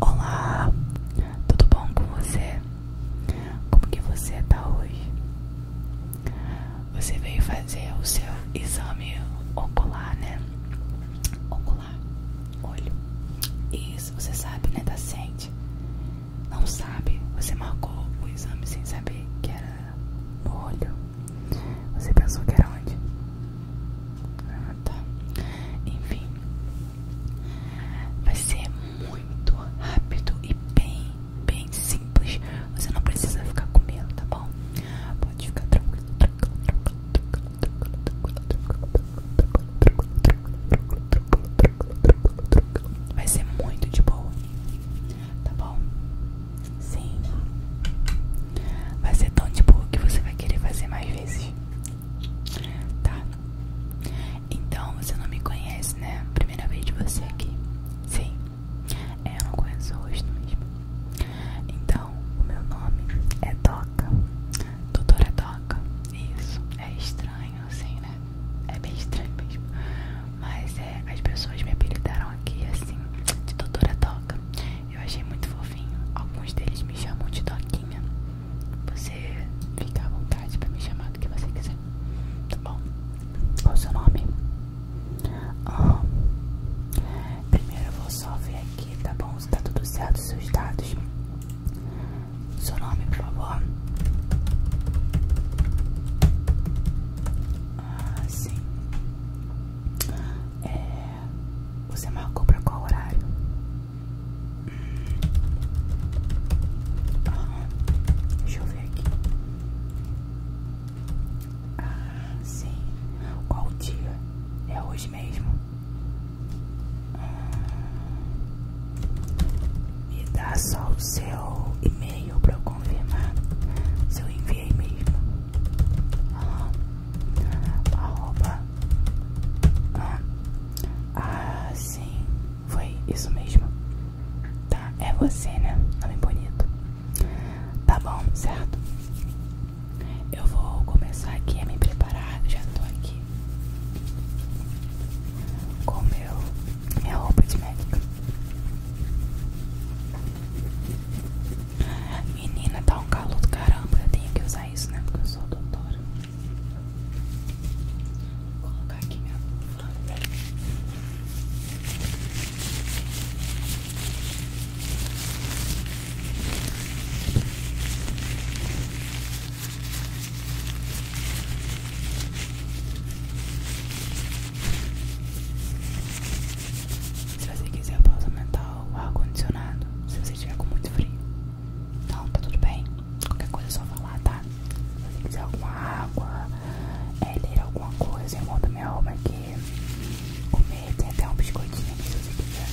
Olá, tudo bom com você? Como que você tá hoje? Você veio fazer o seu exame ocular, né? Ocular, olho. Isso, você sabe, né, da tá sente? Não sabe, você marcou o exame sem saber que era no olho. Você pensou que era onde? Ah, tá. Enfim, vai ser muito rápido e bem, bem simples. Você não precisa ficar com medo, tá bom? Pode ficar tranquilo, tranquilo, tranquilo, tranquilo, tranquilo, tranquilo, tranquilo, tranquilo, tranquilo, tranquilo. Vai ser muito de boa, tá bom? Sim. Vai ser tão tipo que você vai querer fazer mais vezes. Tá. Então você não me conhece, né? Primeira vez de você aqui. Sim. É, eu não conheço o rosto mesmo. Então, o meu nome é Doca. Doutora Doca. Isso. É estranho, assim, né? É bem estranho mesmo. Mas é, as pessoas me apelidaram aqui assim, doutora Doca. Eu achei muito fofinho. Alguns deles me chamam de Doquinha. Você fica à vontade pra me chamar do que você quiser. Tá bom? Qual o seu nome? Ah, primeiro eu vou só ver aqui, tá bom? Se tá tudo certo, seus dados. Seu nome, por favor. Ah, sim. É... Você marcou pra qual horário? Hum. deixa eu ver aqui. Ah, sim. Qual dia? É hoje mesmo? Hum. me dá só o seu e-mail pra eu confirmar. Se eu enviei mesmo. Ah, Arroba. Ah, ah, sim. Foi isso mesmo. Tá, é você, né? Nome bonito. Tá bom, certo? Eu vou começar aqui a me preparar. Já tô aqui com meu, minha roupa de médica. Menina, tá um calor do caramba. Eu tenho que usar isso, né? Porque eu sou doutora. Vou colocar aqui minha luva. Se você quiser pausa mental, ar-condicionado. Se você estiver com muito frio. Não, tá tudo bem. Qualquer coisa é só falar, tá? Se você quiser alguma água, é, ler alguma coisa, eu vou monto minha alma aqui. Comer, tem até um biscoitinho aqui se você quiser.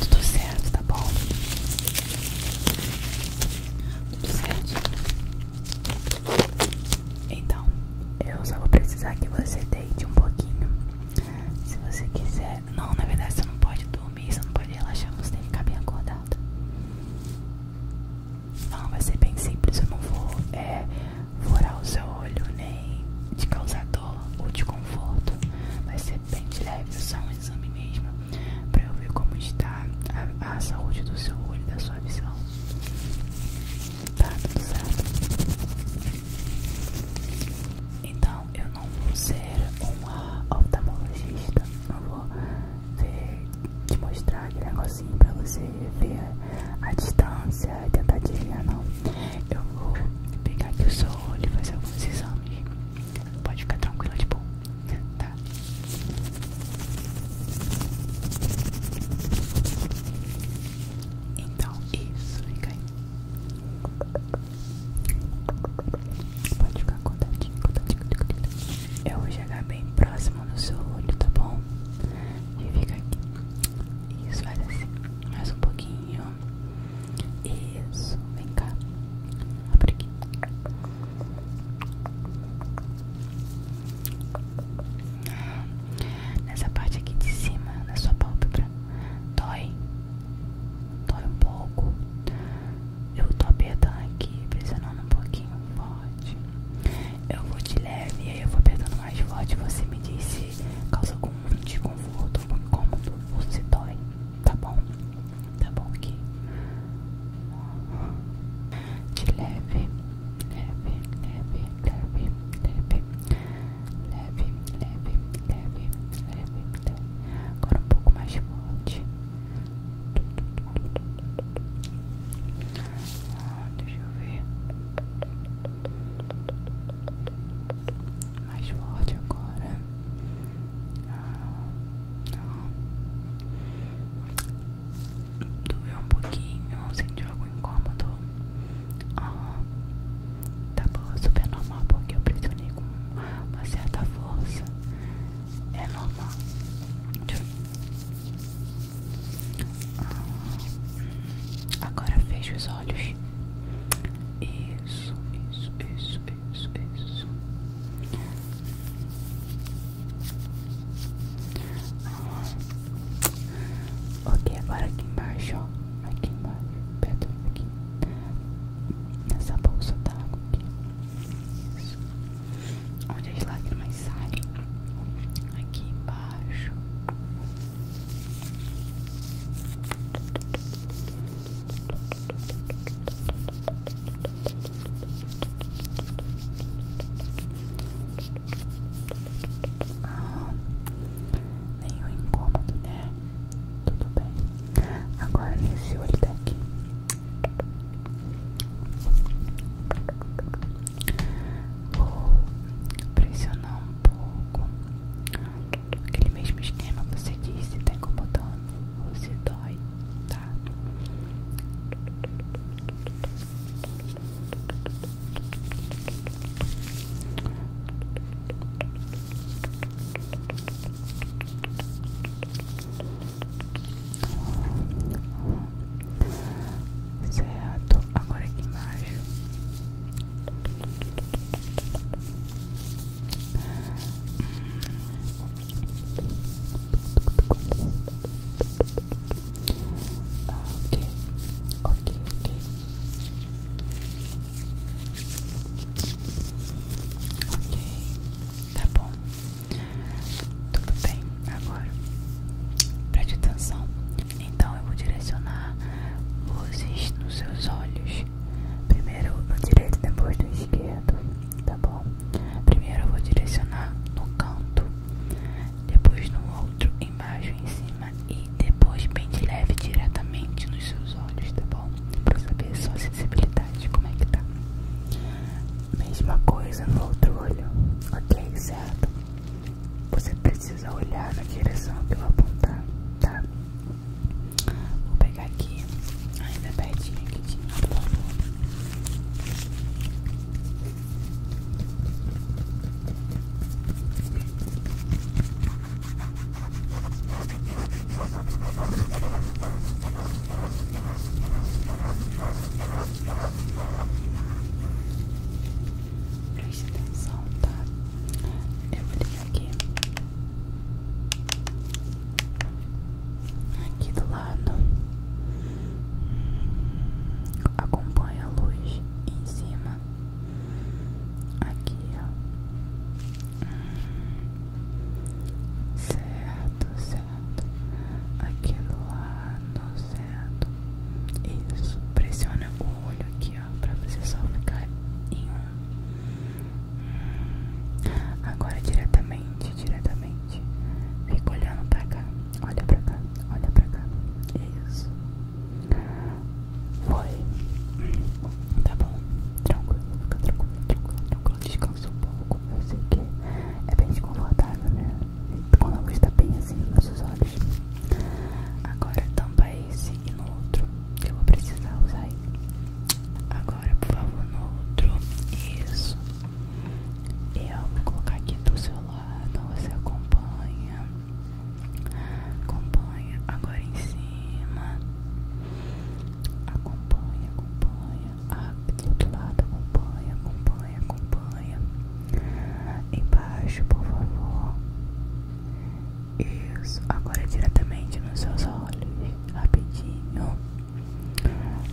Tudo certo, tá bom? Tudo certo? Então, eu só vou precisar que você deite um pouquinho. Se você quiser. Não, na verdade você não pode dormir, você não pode relaxar, você tem que ficar bem acordado. Não, vai ser bem simples, eu não vou é, furar o seu olho nem te causar dor ou desconforto. Vai ser bem de leve, são exame mesmo para eu ver como está a, saúde do seu olho, da sua visão. Tá tudo certo? Então eu não vou ser uma oftalmologista, não vou te mostrar aquele negocinho pra você ver a distância tentar adivinhar, não. Eu vou pegar aqui o seu olho e fazer alguns exames. Pode ficar tranquilo de bom, tá? Então, isso, fica aí. Pode ficar contadinho, contadinho, contadinho. Eu vou chegar bem próximo no seu olho, tá bom? E fica aqui. Isso, faz assim. Mais um pouquinho. Isso, vem cá. Abre aqui. Nessa parte aqui de cima, na sua pálpebra, dói. Dói um pouco. Eu tô apertando aqui, pressionando um pouquinho forte. Eu vou de leve e aí eu vou apertando mais forte. Você me disse causa algum tipo desconforto, algum incômodo, ou se dói. Tá bom? Tá bom aqui. De leve, leve, leve, leve, leve, leve, leve, leve, leve, leve. Agora um pouco mais forte. Ah, deixa eu ver mais forte agora. Ah, não. Doeu um pouquinho, sentiu algo incômodo. Ah, tá bom, super normal porque eu pressionei com uma certa força. É normal. Ah, agora fecha os olhos. Isso, isso, isso, isso, isso. Ok, agora aqui embaixo, Aqui embaixo, perto aqui. Nessa bolsa d'água aqui. Isso. Onde as lágrimas saem. Aqui embaixo. Ah, nenhum incômodo, né? Tudo bem. Agora nesse olho daqui. Vou pressionar um pouco Aquele mesmo esquema você disse tá incomodando você dói, tá? Certo, agora aqui embaixo Ok, ok, ok. Ok, tá bom. Tudo bem agora. Preste atenção. Então eu vou direcionar luzes nos seus olhos Primeiro no direito, depois no esquerdo, tá bom? Primeiro eu vou direcionar no canto, depois no outro, embaixo, em cima e depois bem de leve diretamente nos seus olhos, tá bom? Pra saber a sua sensibilidade, como é que tá. Mesma coisa no outro olho, ok? Certo? Você precisa olhar na direção que eu apontar, tá? Vou pegar aqui, ainda pertinho que tinha, por favor. um atenção, tá? Eu vou ligar aqui aqui do lado acompanha a luz em cima aqui ó certo certo aqui do lado certo isso pressiona o olho aqui ó para você só ficar em um Agora diretamente, diretamente. Fica olhando pra cá. Olha pra cá, olha pra cá. Isso. Foi. Tá bom. Tranquilo, fica tranquilo, tranquilo, tranquilo. Descansa um pouco. Eu sei que é bem desconfortável, né? Quando a luz tá bem assim nos nossos olhos. Agora tampa esse e no outro. Eu vou precisar usar aí Agora, por favor, no outro. Isso. Eu vou colocar aqui do seu lado. Você acompanha. Acompanha. Agora em cima. Acompanha, acompanha. Ah, do outro lado, acompanha, acompanha, acompanha. Embaixo, por favor. Isso, agora diretamente nos seus olhos, rapidinho.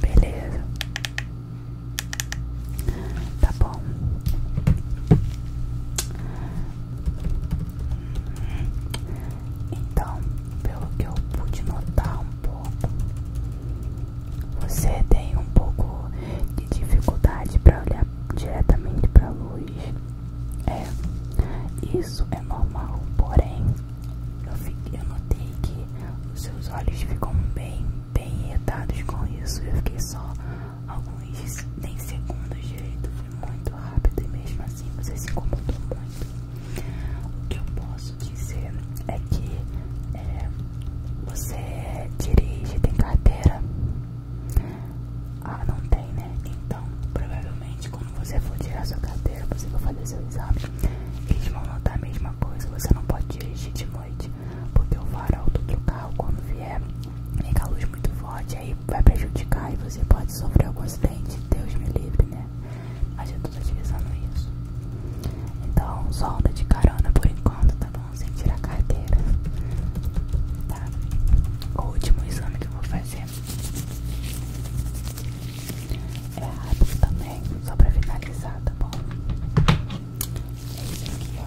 Beleza. Tá bom. Então, pelo que eu pude notar um pouco, você tem um pouco de dificuldade para olhar diretamente para luz. É, isso é normal, porém eu, fiquei, eu notei que seus olhos ficam bem, bem irritados com isso. Eu fiquei só alguns nem segundos direito, foi muito rápido e mesmo assim você se incomodou muito. O que eu posso dizer é que é, você é dirige, tem carteira. Ah, não tem, né? Então, provavelmente quando você for tirar sua carteira, você vai fazer seu exame, eles vão notar a mesma coisa, você não pode dirigir de noite, porque o farol do carro quando vier liga a luz muito forte, aí vai prejudicar e você pode sofrer algum acidente, Deus me livre, né? Mas eu tô tá utilizando isso. Então, só anda de carona por enquanto, tá bom? Sem tirar a carteira. Tá? O último exame que eu vou fazer é rápido também, só pra finalizar, tá bom? É isso aqui,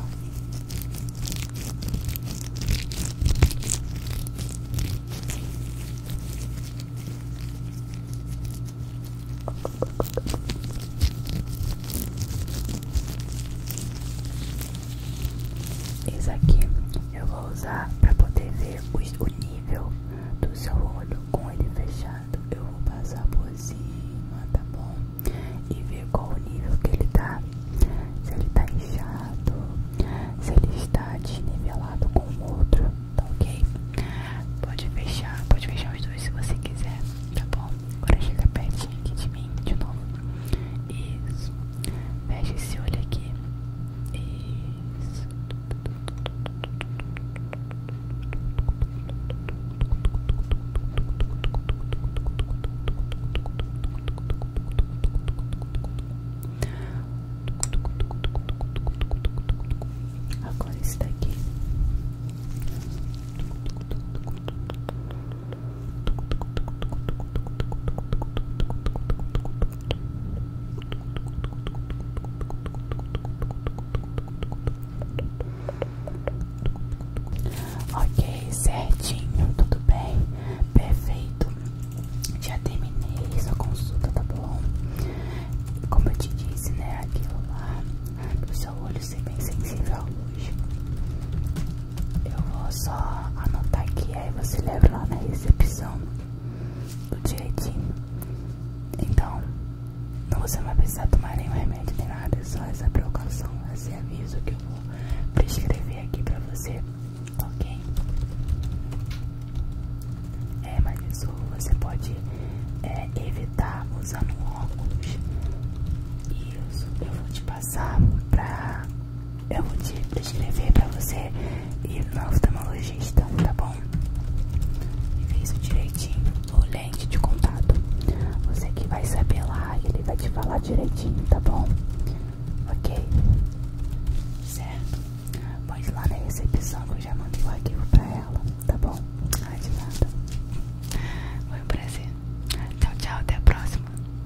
esse aqui eu vou usar para poder ver o nível do seu olho com ele fechado. Eu vou passar por cima, tá bom? E ver qual o nível que ele tá. Se ele tá inchado, se ele está desnivelado com o outro, tá ok? Pode fechar, pode fechar os dois se você quiser, tá bom? Agora chega pertinho aqui de mim de novo. Isso. Fecha esse olho aqui. Isso. Agora está aqui. Ok, certinho, tudo bem, perfeito. Já terminei sua consulta, tá bom? Como eu te disse, né? Aquilo lá, pro seu olho ser bem sensível hoje. Eu vou só anotar aqui, aí você leva lá na recepção do direitinho. Então, não você vai precisar tomar nenhum remédio nem nada, é só essa precaução, esse aviso que eu vou prescrever aqui pra você, ok? É, mas isso você pode é, evitar usando óculos. Isso, eu vou te passar pra é eu vou te prescrever pra você e ir no oftalmologista, tá bom? E vê direitinho, o lente de contato. Você que vai saber lá, ele vai te falar direitinho, tá bom? Ok? Certo? Pode ir lá na recepção que eu já mandei o arquivo pra ela, tá bom? Ah, de nada. Foi um prazer. Tchau, tchau, até a próxima.